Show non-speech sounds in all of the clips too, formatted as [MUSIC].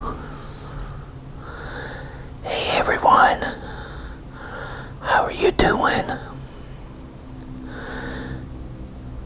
Hey everyone, how are you doing?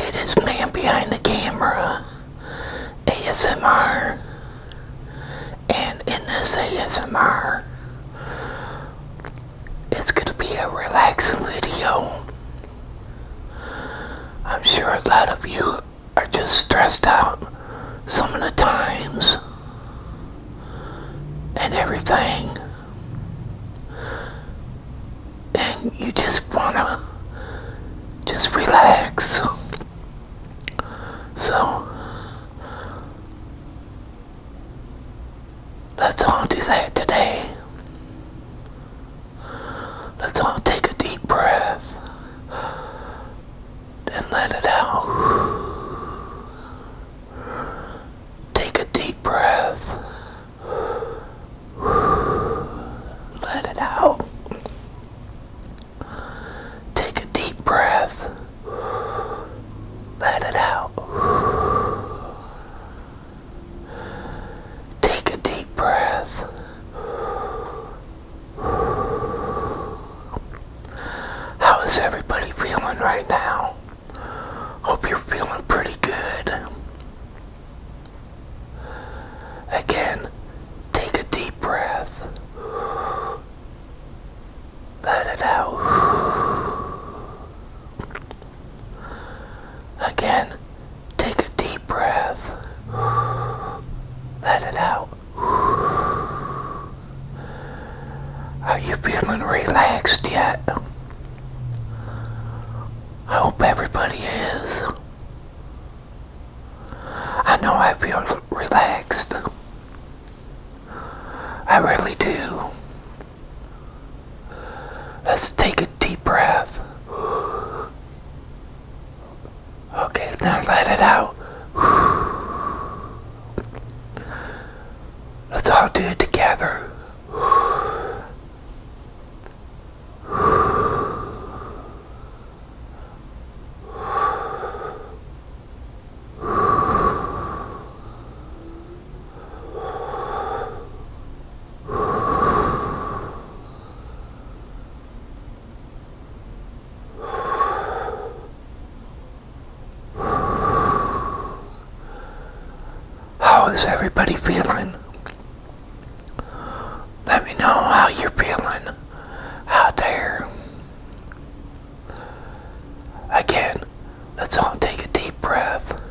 It is man behind the camera, ASMR, and in this ASMR, it's going to be a relaxing video. I'm sure a lot of you are just stressed out some of the times and everything. And you just want to just relax. So, let's all do that today. Let's all take a deep breath and let it out. Take a deep breath. Let it out. Take a deep breath. Let it out. Take a deep breath. How is everybody feeling right now? Hope you're feeling pretty good. Again, take a deep breath. Let it out. Again, Take a deep breath. Let it out. Are you feeling relaxed yet? I hope everybody is. I know I feel relaxed. I really do. Let's take a deep breath. Okay, now let it out. Let's all do it together. How is everybody feeling? Let me know how you're feeling out there. Again, let's all take a deep breath.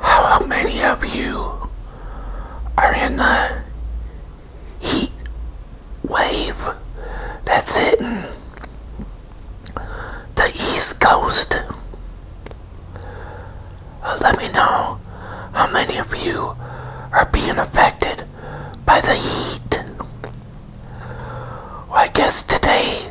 how many of you are in the heat wave that's hitting the East Coast? Uh, let me know how many of you are being affected by the heat. I guess today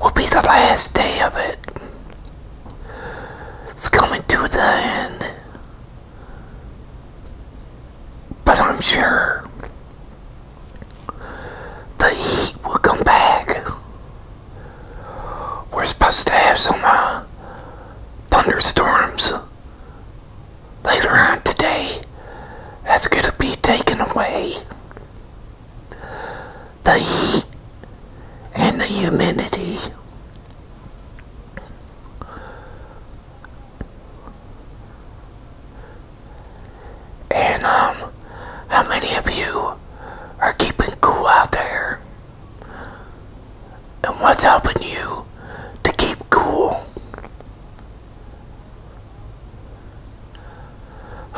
will be the last day of it. It's coming to an end. But I'm sure the heat will come back. We're supposed to have some uh, thunderstorms later on today. That's going to be taken away the heat and the humidity. And um, how many of you are keeping cool out there? And what's helping you to keep cool?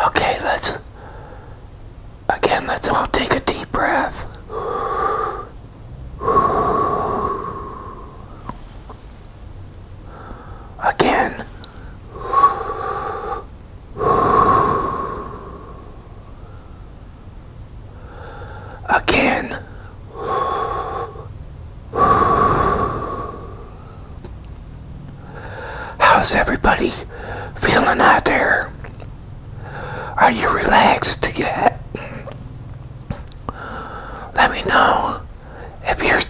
Okay, let's Again, let's all take a deep breath. Again. Again. How's everybody feeling out there? Are you relaxed yet? Let me know if you're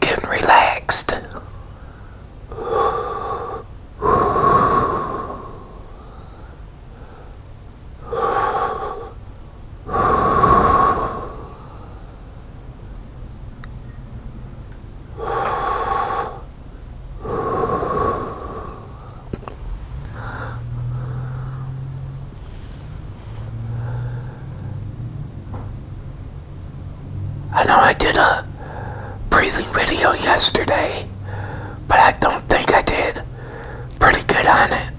getting relaxed. I know I did a breathing video yesterday, but I don't think I did pretty good on it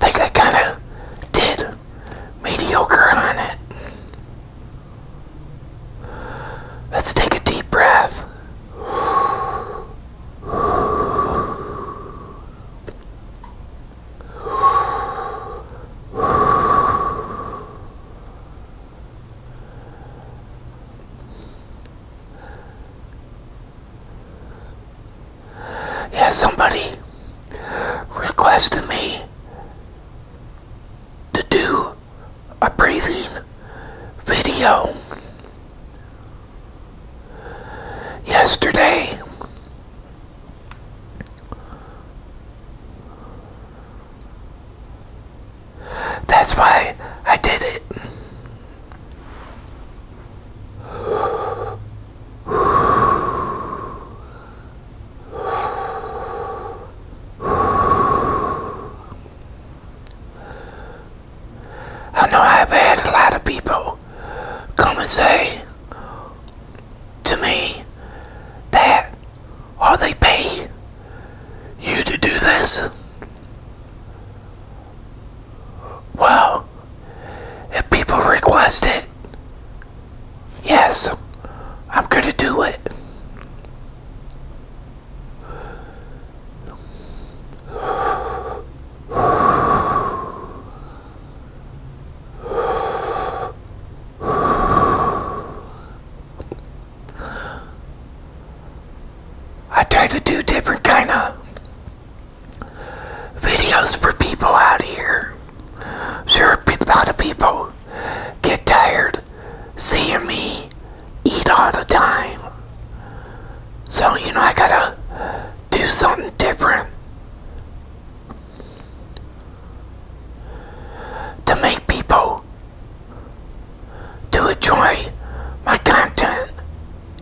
think I kind of did mediocre on it. Let's take a deep breath. Yeah, somebody requested me to do a breathing video yesterday. That's why I did it. I know I've had a lot of people come and say to me that, "Are they paying you to do this. Well, if people request it, yes, I'm going to do it. I try to do different kind of videos for people out here. Sure, a lot of people get tired seeing me eat all the time. So, you know, I gotta do something different to make people to enjoy my content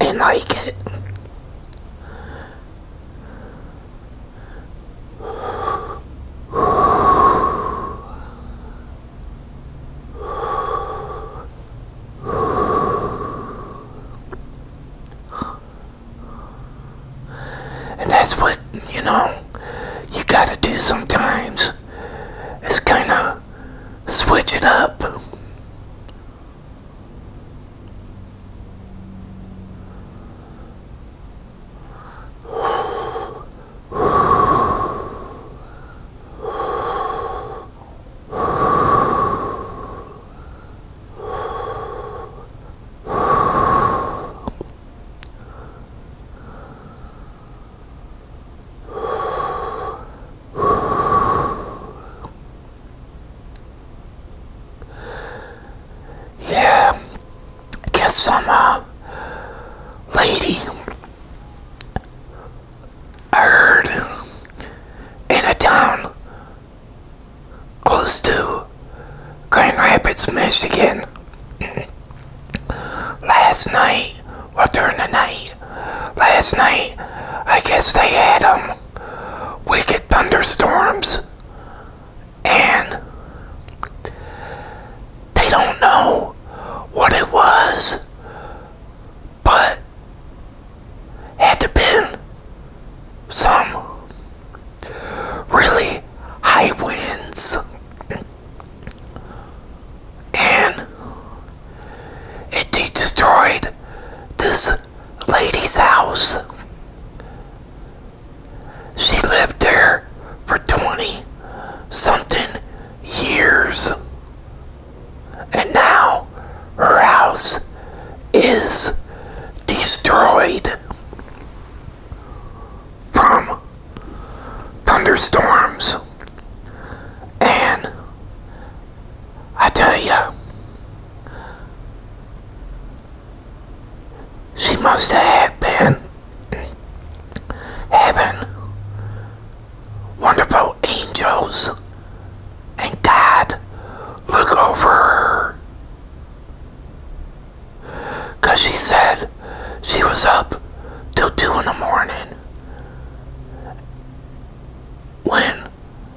and like it. And that's what, you know, you gotta do sometimes. It's kind of switch it up. Yeah, guess some uh, lady I in a town close to Grand Rapids, Michigan. [COUGHS] last night, or during the night, last night, I guess they had them um, wicked thunderstorms, and they don't know what it was, but had to been some really high winds. And it destroyed this lady's house. She lived there for 20 something years. And now her house is destroyed from thunderstorms. And I tell you, she must have been heaven. wonderful angels and God look over her. Because she said she was up till 2 in the morning when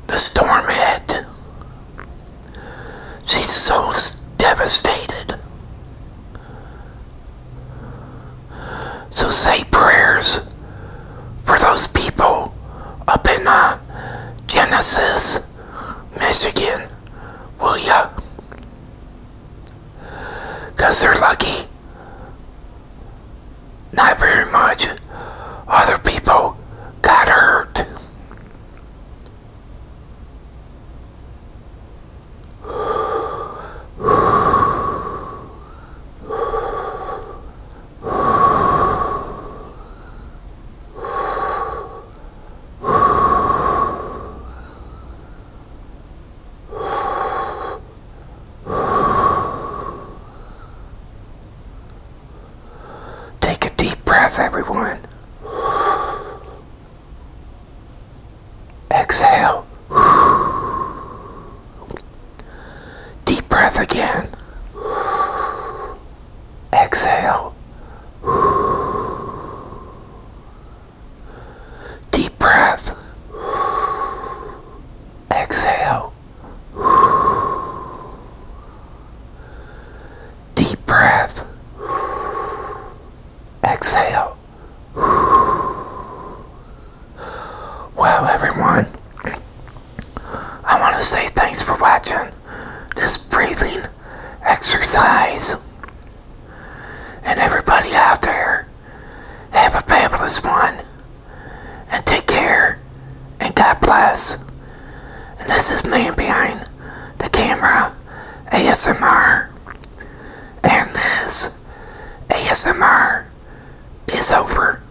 the storm hit. She's so devastated. So say prayers for those people up in uh, Genesis, Michigan will ya? Because they're lucky. Not very much. Other people got hurt. Take a deep breath, everyone. Exhale. Deep breath again. Exhale. Deep breath. Exhale. Deep breath. Exhale. Well, everyone. I want to say thanks for watching this breathing exercise. And everybody out there, have a fabulous one. And take care. And God bless. And this is Man Behind the Camera ASMR. And this ASMR is over.